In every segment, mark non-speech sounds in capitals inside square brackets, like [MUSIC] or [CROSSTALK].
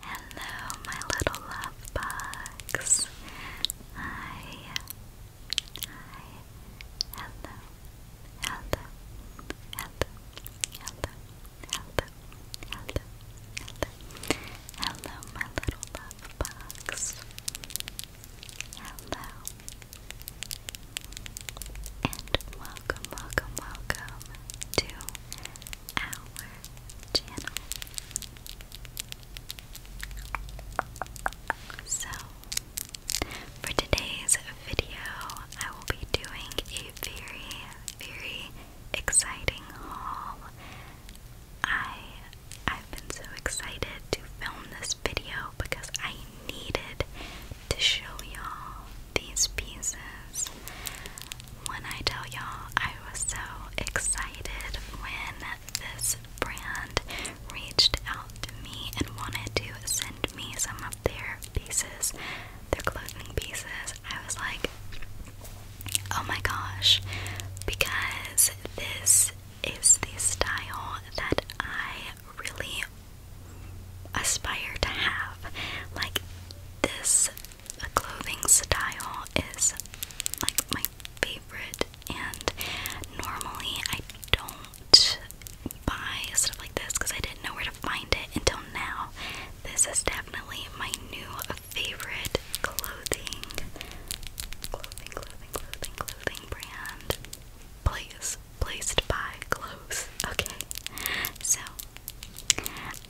Hello, my little love bugs. Hi. Hi. Hello. Hello. Hello. Hello. Hello. Hello. Hello. Hello, my little love bugs. Hello. And welcome, welcome, welcome to our channel. So, for today's video, I will be doing a very, very exciting haul. I I've been so excited to film this video because I needed to show y'all these pieces. When I tell y'all, I was so excited when this brand reached out to me and wanted to send me some of their pieces, their clothing pieces. I was like, oh my gosh, because this is the style that I really aspire to have. Like, this the clothing style is like my favorite, and normally I don't buy stuff like this because I didn't know where to find it until now. This is definitely my new favorite clothing, clothing, clothing, clothing, clothing brand. Place, placed by clothes. Okay, so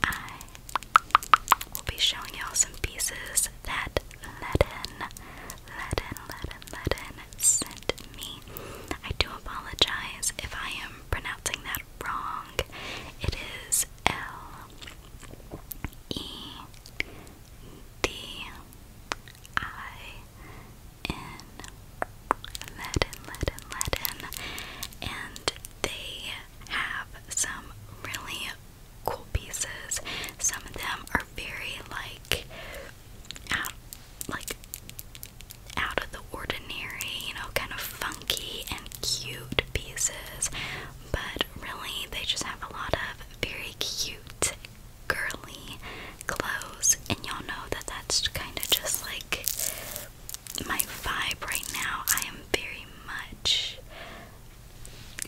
I We'll be showing y'all some pieces that Ledin, Ledin, Ledin, Ledin sent me. I do apologize if I am pronouncing that wrong. It is L E D I N. Ledin, Ledin, Ledin. And they have some really cool pieces. Some of them are very like out like out of the ordinary, you know, kind of funky and cute pieces, but really they just have a lot of very cute girly clothes and y'all know that that's kind of just like my vibe right now, I am very much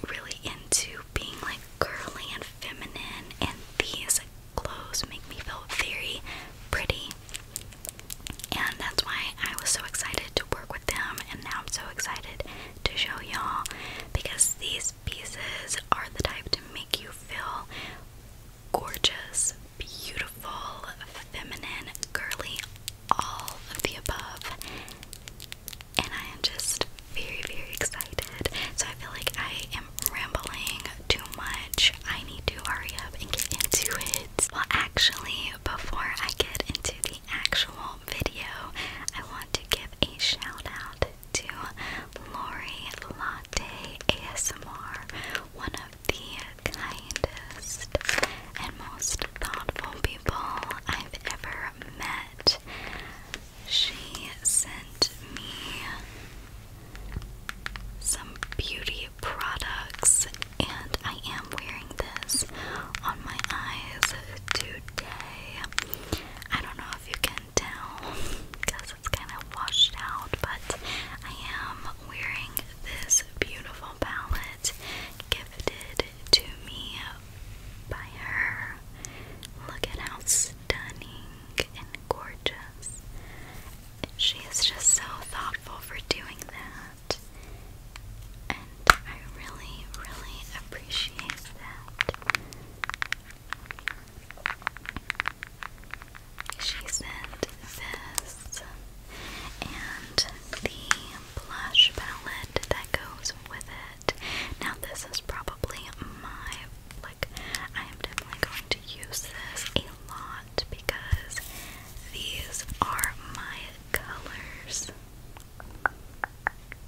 really into being like girly and feminine, and these clothes make me feel very pretty. And that's why I was so excited to work with them, and now I'm so excited to show y'all because these pieces are the type to make you feel gorgeous beautiful, feminine, girly, all of the above. And I am just very, very excited. So I feel like I am rambling too much. I need to hurry up and get into it. Well, actually, before I get into the actual video, I want to give a shout out to Lori Latte ASMR, one of the kindest, and most thoughtful people I've ever met. She sent me some beauty products, and I am wearing this on my eyes today. I don't know if you can tell because it's kind of washed out, but I am wearing this beautiful palette gifted to me by her. Look at how stunning and gorgeous. She is just so thoughtful for doing that. And I really, really appreciate that. She sent this and the blush palette that goes with it. Now this is probably my like I am definitely going to use this a lot because these are my colors.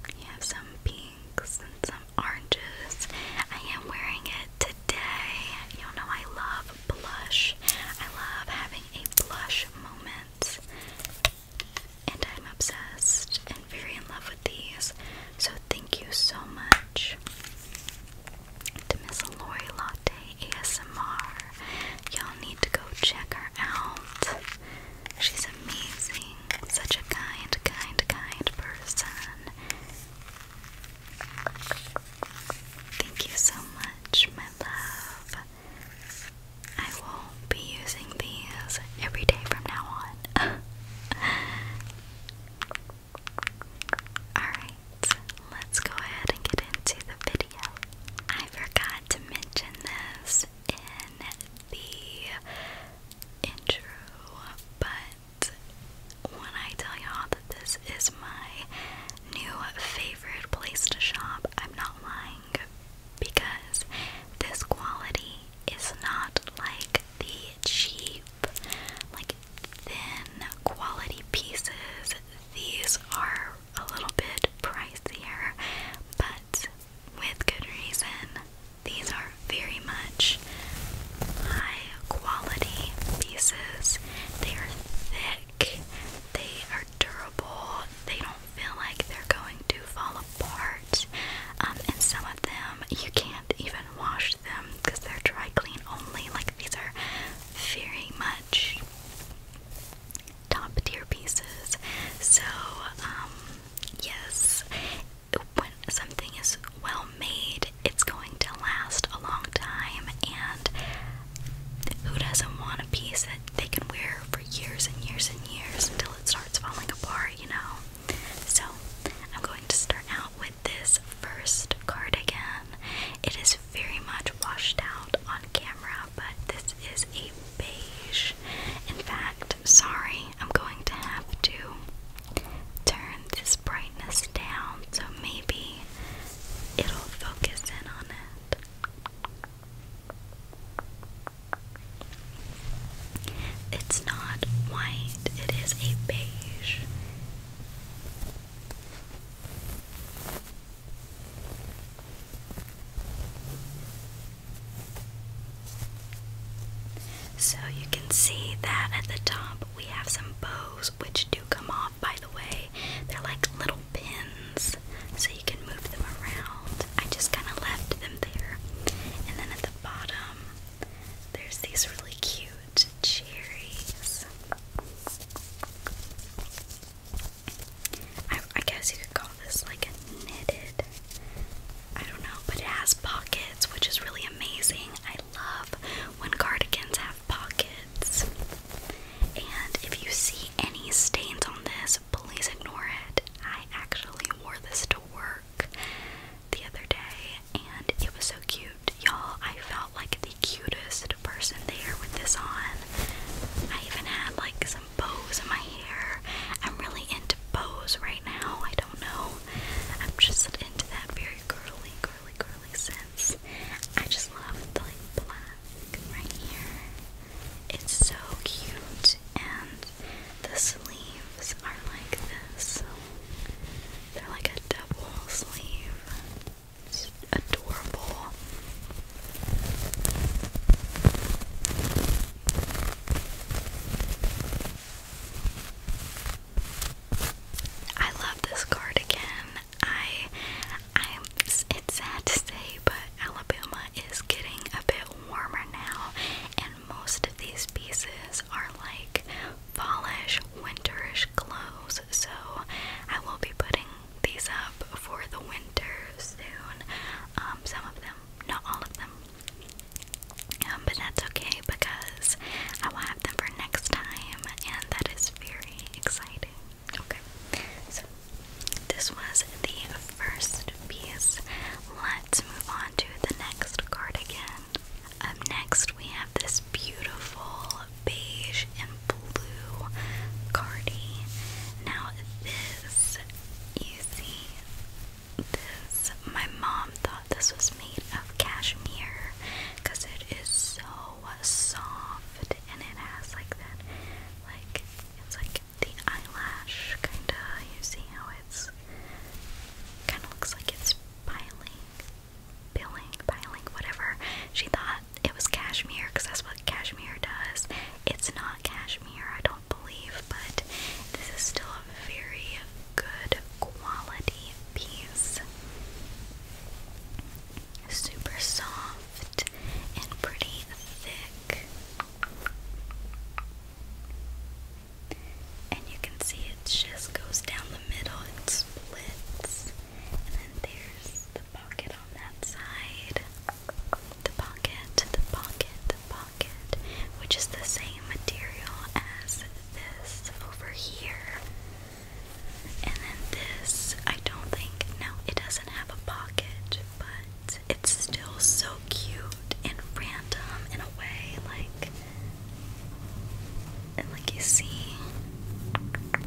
You have some pinks and some oranges. I am wearing it today. you know I love blush. I love having a blush moment. And I'm obsessed and very in love with these. So thank you so much to Miss Lori Latte ASMR. Y'all need to go check her out. She's amazing. Such a kind, kind, kind person. Thank you so much, my love. I will be using these every day from now on. [LAUGHS] Alright, let's go ahead and get into the video. I forgot to mention this in the intro, but when I tell y'all that this is my new favorite place to shop. I'm not lying because this quality is not like the cheap, like thin quality pieces. These are a little bit pricier, but with good reason. These are very much high quality pieces. They are thick they are durable, they don't feel like they're going to fall apart. Um, and some of them you can't even wash them because they're dry clean only. Like these are very much top tier pieces. So, um, yes, when something is well made, it's going to last a long time and who doesn't want a piece that they can wear for years and years and years until it starts falling apart, you know? So, I'm going to start out with this first cardigan. It is very much washed out on camera, but this is a beige. In fact, sorry, I'm going to have to turn this brightness down so maybe it'll focus in on it. It's not white, it is a beige. So you can see that at the top we have some bows which do come off by the way. They're like little pins, so you can move them around. I just kind of left them there. And then at the bottom, there's these really cute cherries. I, guess you could call this like a knitted. I don't know, but it has pockets, which is really amazing. I love when cardigans have pockets. And if you see any stains on this, please ignore it. I actually wore this to work the other day and it was so cute. Y'all, I felt like the cutest person there with this on. I even had like some bows in my hair. I'm really into bows right now. I don't know. I'm just into that very girly, girly, girly sense. I just love the like black right here. It's so cute and the sleeves are like this. they're like a double sleeve. adorable. I love this cardigan. I, I'm. It's sad to say, but Alabama is getting a bit warmer now, and most of these pieces are like fallish, winterish clothes. So I will be putting these up for the winter soon. Um, some of them, not all of them. Um, but that's okay because I will have them for next time, and that is very exciting. Okay, so this was the first piece. Let's move on to the next cardigan. Up next, we have this beautiful beige and blue cardi. Now, this, you see, this, my mom thought this was made of cashmere because it is so soft and it has like that, like it's like the eyelash kinda. You see how it's kind of looks like it's piling, billing, piling, whatever. She thought it was cashmere because that's what cashmere does. It's not cashmere, I don't believe, but this is still a very good quality piece. Super soft and pretty thick. And you can see it just goes down the middle and splits. And then there's the pocket on that side. The pocket, the pocket, the pocket, which is the same material as this over here. And then this, I don't think, no, it doesn't have a pocket, but it's still so cute and random in a way, like, and like you see.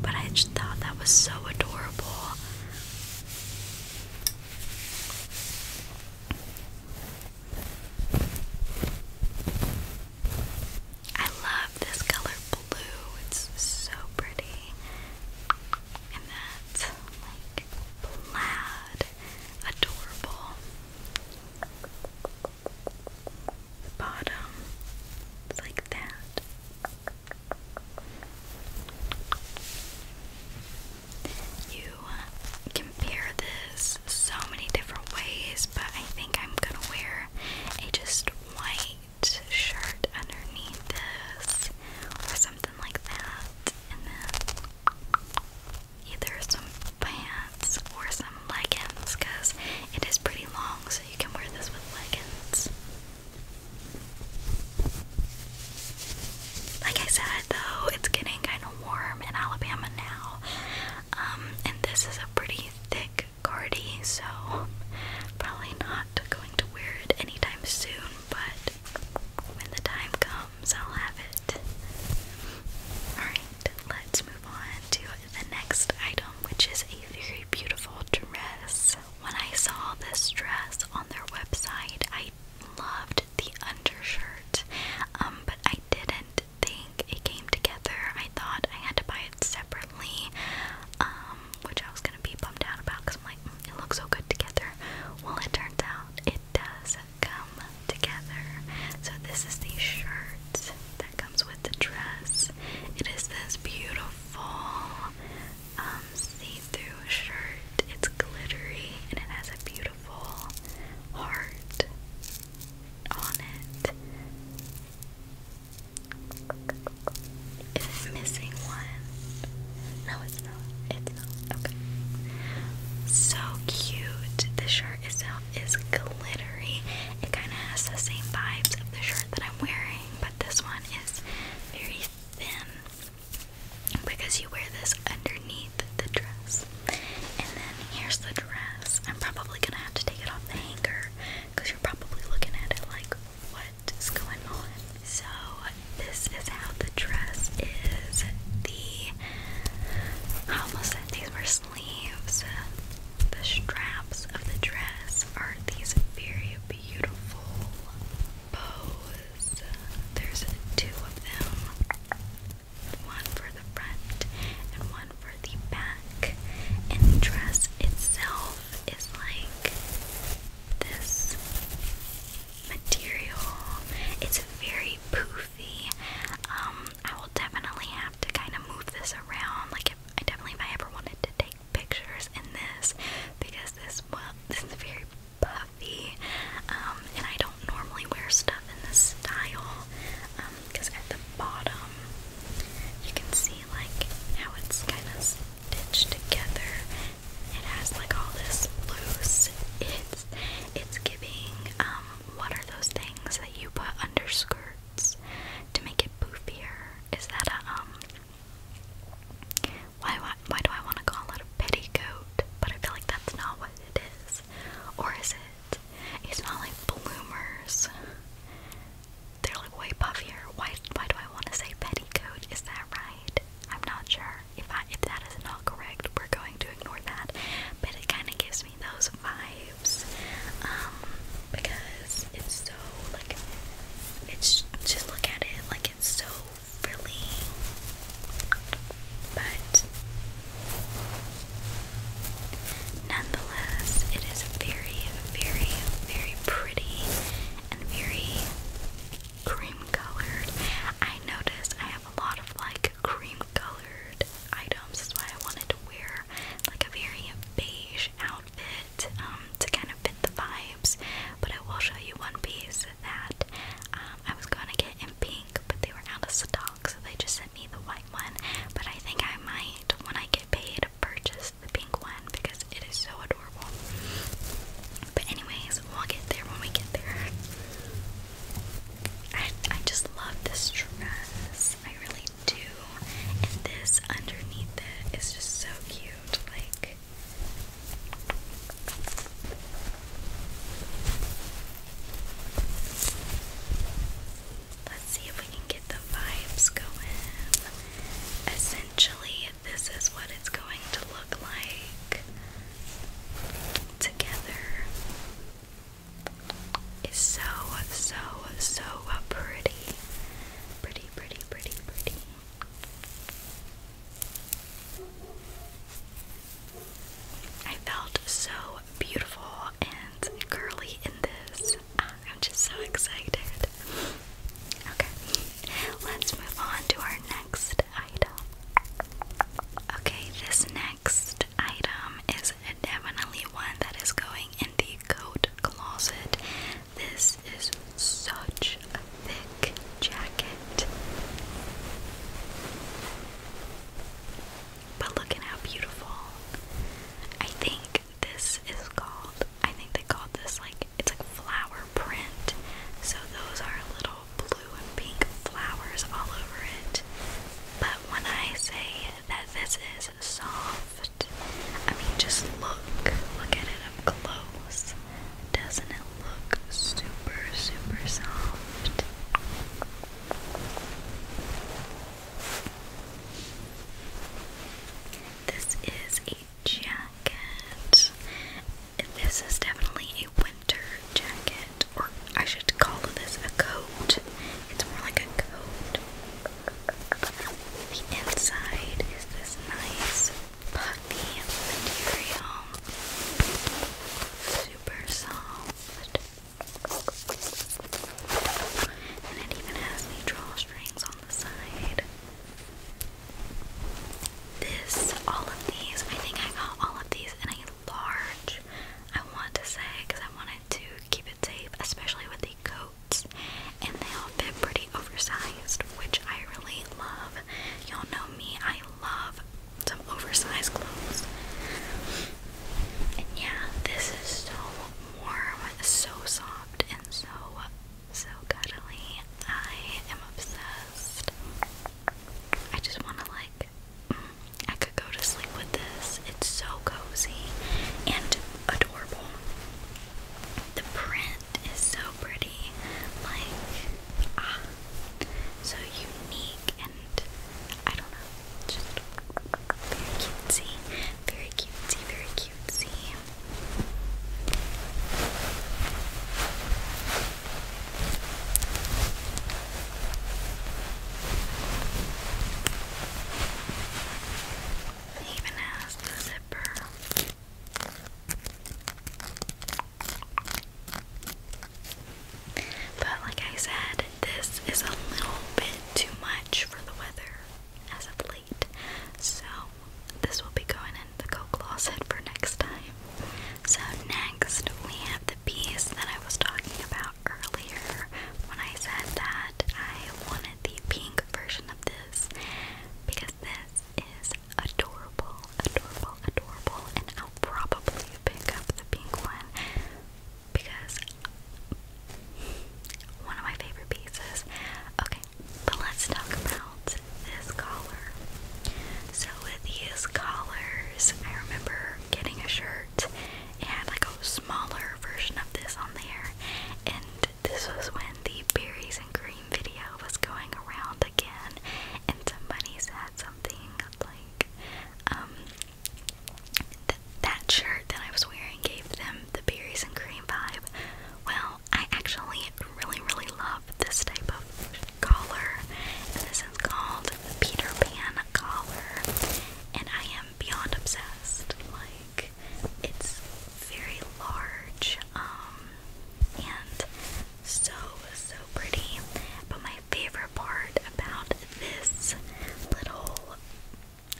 But I just thought that was so adorable. I love this color blue. It's so pretty in that like plaid, adorable bottom. It's like that. You uh, compare this so many different ways, but I think I'm gonna wear a just white shirt underneath this or something like that. And then either some pants or some leggings because it is pretty long, so you can wear this with leggings. Like I said, though, it's getting kind of warm in Alabama now, um, and this is a pretty thick cardi, so probably not going to wear it anytime soon, but when the time comes, I'll have it. Alright, let's move on to the next item, which is a very beautiful dress. When I saw this dress on their website, I loved the undershirt, um, but I didn't think it came together. I thought I had to buy separately, um, which I was gonna be bummed out about because I'm like, mm, it looks so good together. Well, it turns out it does come together. So this is the shirt that comes with the dress. It is this beautiful um, see-through shirt. It's glittery and it has a beautiful heart on it. Is it missing one? No, it's not. It's not. So cute. The shirt itself is glittery. It kind of has the same vibes of the shirt that I'm wearing, but this one is very thin because you wear this underneath the dress. And then here's the dress. I'm probably gonna have to take it off the hanger because you're probably looking at it like, what is going on. So, this is how the dress is. The, I almost sleeves. The straps of the dress are these very beautiful bows. There's two of them one for the front and one for the back. And the dress itself is like this material. It's very poofy. Um, I will definitely have to kind of move this around. Like, I definitely, if I ever wanted to take pictures in this, because this well, this is very puffy. Um, and I don't normally wear stuff in this style. because um, at the bottom you can see like how it's kind of stitched together. It has like all this loose. It's it's giving um what are those things that you put under skirts to make it poofier? Is that a um why why why do I want to call it a petticoat? But I feel like that's not what it is. Or is it? It's not like bloomers they're like way puffier. Why why do I want to say petticoat? Is that right? I'm not sure. If I if that is not correct, we're going to ignore that. But it kinda gives me those vibes. Um, because it's so like it's just look at it, like it's so frilly. But Nonetheless, it is very, very, very pretty pretty and very cream colored. I noticed I have a lot of like cream colored items. That's why I wanted to wear like a very beige outfit um, to kind of fit the vibes. But I will show you one piece that um, I was going to get in pink, but they were out of stock, so they just sent me the white one. But I think I might, when I get paid, to the pink one because it is so adorable. But anyways, we'll get there when we get there. I I just love this dress. I really do. And this underneath it is just so cute. Like Let's see if we can get the vibes going. Essentially, this is what it's going to look like together. It's so, so, so pretty. Pretty, pretty, pretty, pretty. I felt so beautiful and girly in this. I'm just so excited. Okay, let's move on to our next item. Okay, this next item is definitely one that is going in the coat closet. This is such a thick jacket. But look at how beautiful. I think this is called, I think they call this like, it's like flower print. So those are little blue and pink flowers all over it. But when I say that this is soft, I mean, just look, look at it up close. Doesn't it look super, super soft? This is a jacket. This is definitely a winter jacket, or I should call this a coat. It's more like a coat. The inside is this nice puffy material, super soft, and it even has the drawstrings on this, all of these, I think I got all of these in a large, I want to say, because I wanted to keep it safe, especially with the coats, and they all fit pretty oversized, which I really love. Y'all know me, I love some oversized clothes. And yeah, this is so warm, so soft, so, so cuddly. I am obsessed. I just want to, like, mm, I could go to sleep with this. It's so cozy and adorable. The print is so pretty. Like, ah, so unique and I don't know, just very cutesy. Very cutesy, very cutesy. It even has the zipper. But like I said, this is a little bit too much for the weather as of late. So this will be going in the coat closet for next time. So next we have the piece that I was talking about earlier when I said that I wanted the pink version of this because this is adorable, adorable, adorable, and I'll probably pick up the pink one because one of my favorite pieces. Okay, but let's talk about this collar. So with these collars, I remember getting a shirt. It had like a smaller version of this on there, and this was when the berries and cream video was going around again, and somebody said something like, um, that shirt that I was wearing gave them the berries and cream vibe. Well, I actually really, really love this type of collar, and this is called the Peter Pan collar, and I am beyond obsessed. Like, it's very large, um, and so, so pretty. But my favorite part about this little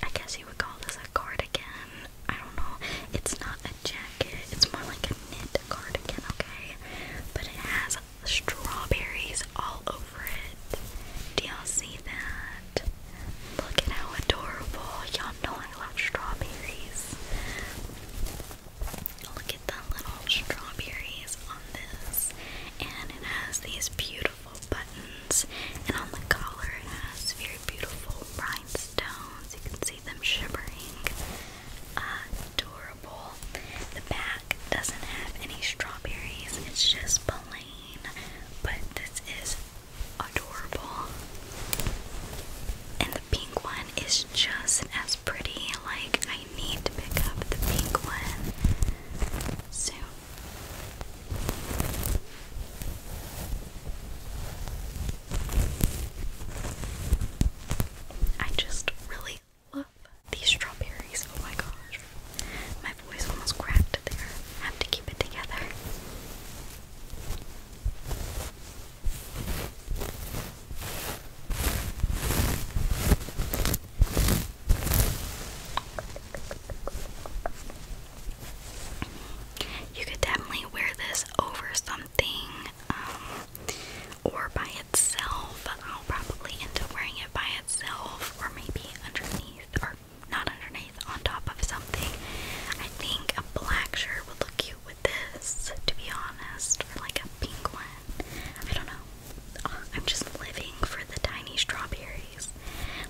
I guess you would call this a cardigan. I don't know. It's not a jacket. It's more like a knit cardigan, okay? But it has strawberries all over it. Do y'all see that? Look at how adorable. Y'all know I love strawberries. Look at the little strawberries on this. And it has these beautiful beautiful buttons, and on the collar it has very beautiful rhinestones. You can see them shimmering. Adorable. The back doesn't have any strawberries, it's just plain, but this is adorable. And the pink one is just as pretty. Like, I need to pick up the pink one soon. I just really love these strawberries. Oh my gosh. My voice almost cracked there. have to keep it together. You could definitely wear this over something um, or by itself. I'll probably end up wearing it by itself or maybe underneath or not underneath, on top of something. I think a black shirt would look cute with this, to be honest, or like a pink one. I don't know. Uh, I'm just living for the tiny strawberries.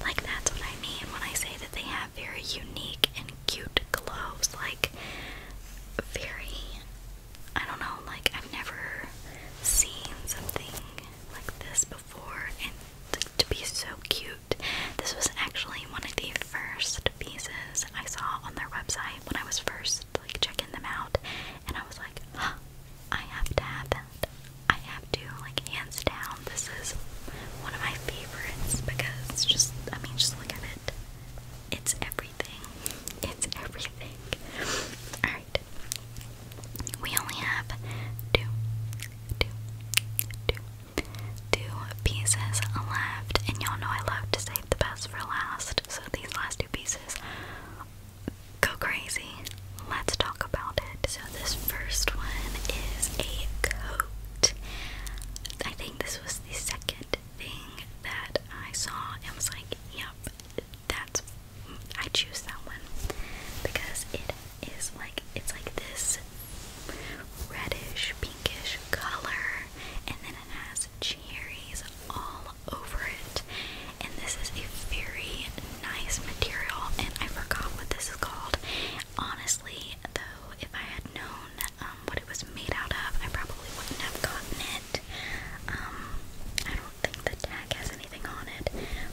Like, that's what I mean when I say that they have very unique and cute gloves. Like, very, I don't know, like, I've never seen something like this before, and to be so cute. This was actually one of the first pieces I saw on their website when I was first like checking them out, and I was like, [GASPS] I have to have that. I have to, like, hands down, this is one of my favorites because just, I mean, just look at it. It's everything. It's everything. Alright. We only have two, two, two, two pieces left. And y'all know I love to save the best for last. So these last two pieces go crazy. Let's talk about it this first one is a coat. I think this was the second thing that I saw and was like, yep, that's I choose that one because it is like it's like this reddish pinkish color and then it has cherries all over it. And this is a very nice material and I forgot what this is called honestly, though, if I had known um, what it was made out of, I probably wouldn't have gotten it. Um, I don't think the tag has anything on it,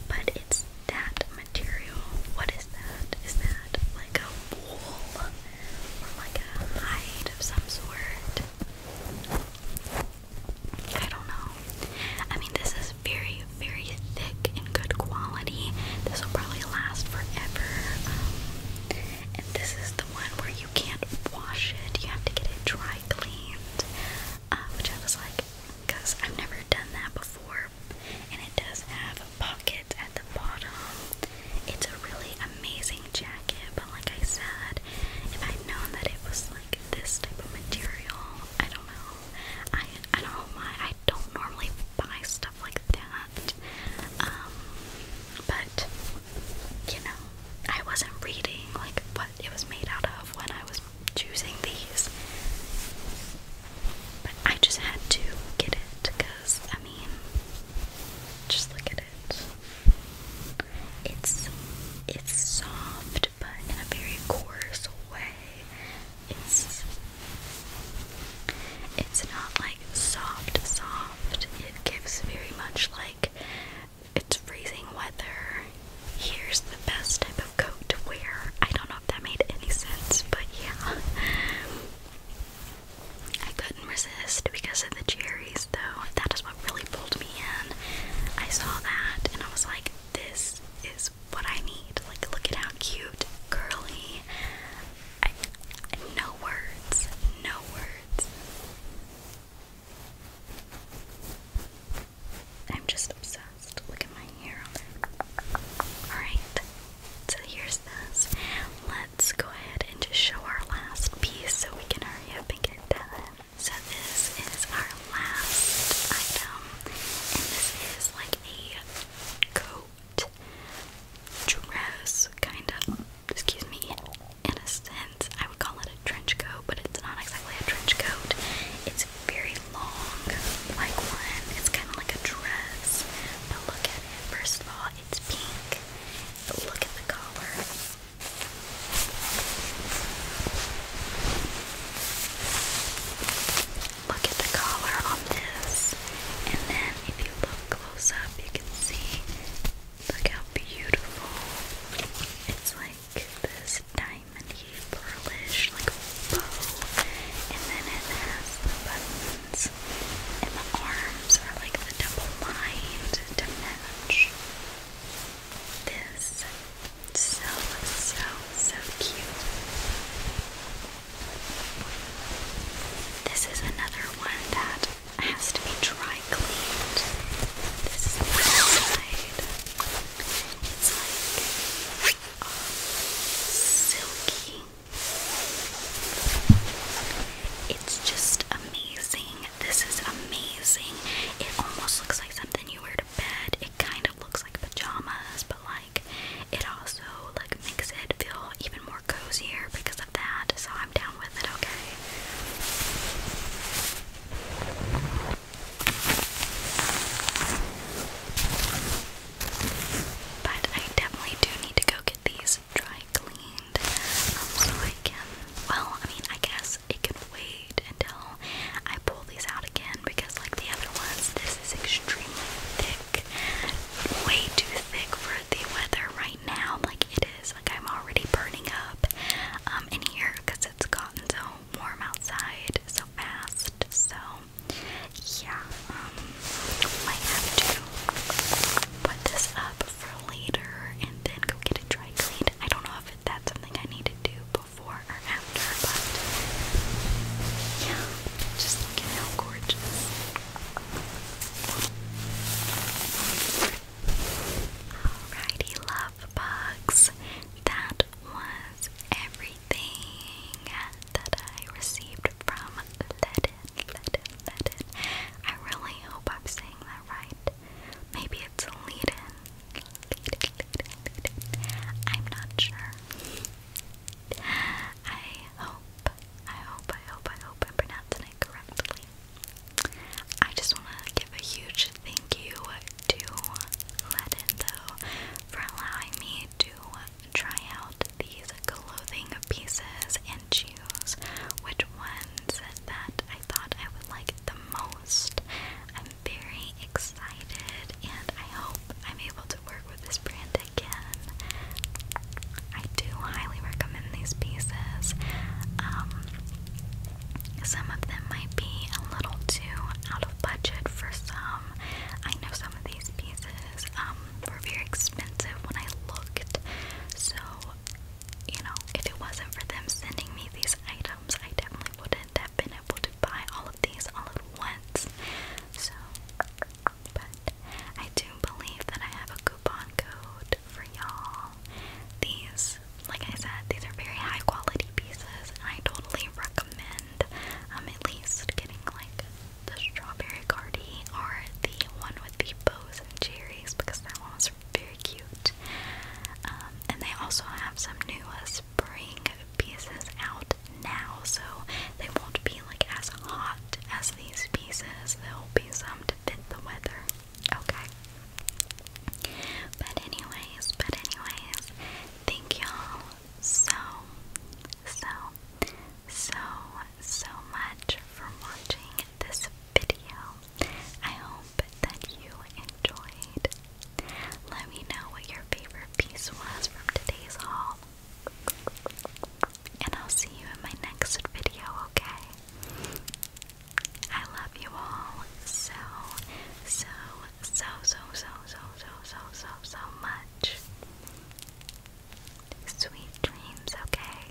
but it's that material. What is that? Is that like a wool or like a hide of some sort? I don't know. I mean, this is very, very thick and good quality. This will probably last forever. Um, and this is the one where you can't wash it, you have to get it dry cleaned. Uh, which I was like, because I've never done that before. And it does have pockets at the bottom. It's a really amazing jacket, but like I said, if I'd known that it was like this type of material, I don't know, I I don't I don't normally buy stuff like that. Um, but you know, I wasn't reading like what it was made out of when I was choosing these. But I just had to get it because I mean, just look at it. It's it's soft, but in a very coarse way. It's it's not like soft, soft. It gives very much like it's freezing weather. Here's the best type of coat to wear. I don't know if that made any sense, but yeah. I couldn't resist because of the cherries, though. That is what really pulled me in. I saw that and I was like, this is what I need. Like, look at how cute, curly. no words, no words. I'm just obsessed. Look at my hair Alright, so here's this. Let's go ahead and just show our last piece so we can hurry up and get done. So this is our last item, and this is like a coat, dress, kind of, excuse me, in a sense. I would call it a trench coat, but it's not exactly a trench coat. It's very long, like one. It's kind of like a dress, but look at it. First of all, it's pink. But look at the collar. Look at the collar on this. And then if you look close up, you can see look how beautiful. It's like this diamondy pearlish like bow. And then it has the buttons and the arms are like the double lined to match. This so so so cute. This is another one that has to be dry cleaned. This is the outside. It's like um, silky. It's just amazing. This is amazing. It almost looks like something you wear to bed kind of looks like pajamas, but like it also like makes it feel even more cozier because of that. So I'm down with it, okay. But I definitely do need to go get these dry cleaned um, so I can. Well, I mean, I guess it could wait until I pull these out again because, like the other ones, this is extremely thick. Way too thick for the weather right now. Like it is. Like I'm already burning up um, in here because it's gotten so warm outside so fast. So yeah, um, might have to put this up for later and then go get it dry cleaned. I don't know if that's something I need to do before yeah, just look at how gorgeous. Alrighty, love bugs. That was everything that I received from Let I really hope I'm saying that right. Maybe it's Lead I'm not sure. I hope, I hope, I hope, I hope I'm it correctly. I just want to give a huge thank you to Ledin, though, for allowing me to try out these clothing pieces and choose which ones that I thought I would like the most. I'm very excited excited, and I hope I'm able to work with this brand again. I do highly recommend these pieces. Um, some of them might be a little too out of budget for some. I know some of these pieces um, were very expensive when I looked, so you know, if it wasn't for them sending me these items, I definitely wouldn't have been able to buy all of these all at once. So, but I do believe that I have a coupon code for y'all. These, like I said, these are very high quality pieces, I totally recommend um, at least getting like the strawberry cardi or the one with the bows and cherries because that one was very cute. Um, and they also have some new uh, spring pieces out now, so they won't be like as hot as these pieces. There'll be some to fit the weather. Okay. But anyways, but anyways, thank y'all so, so, so, so much for watching this video. I hope that you enjoyed. Let me know what your favorite Peace was from today's haul. And I'll see you in my next video, okay? I love you all so, so, so, so, so, so, so, so, so much. Sweet dreams, okay?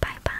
Bye bye.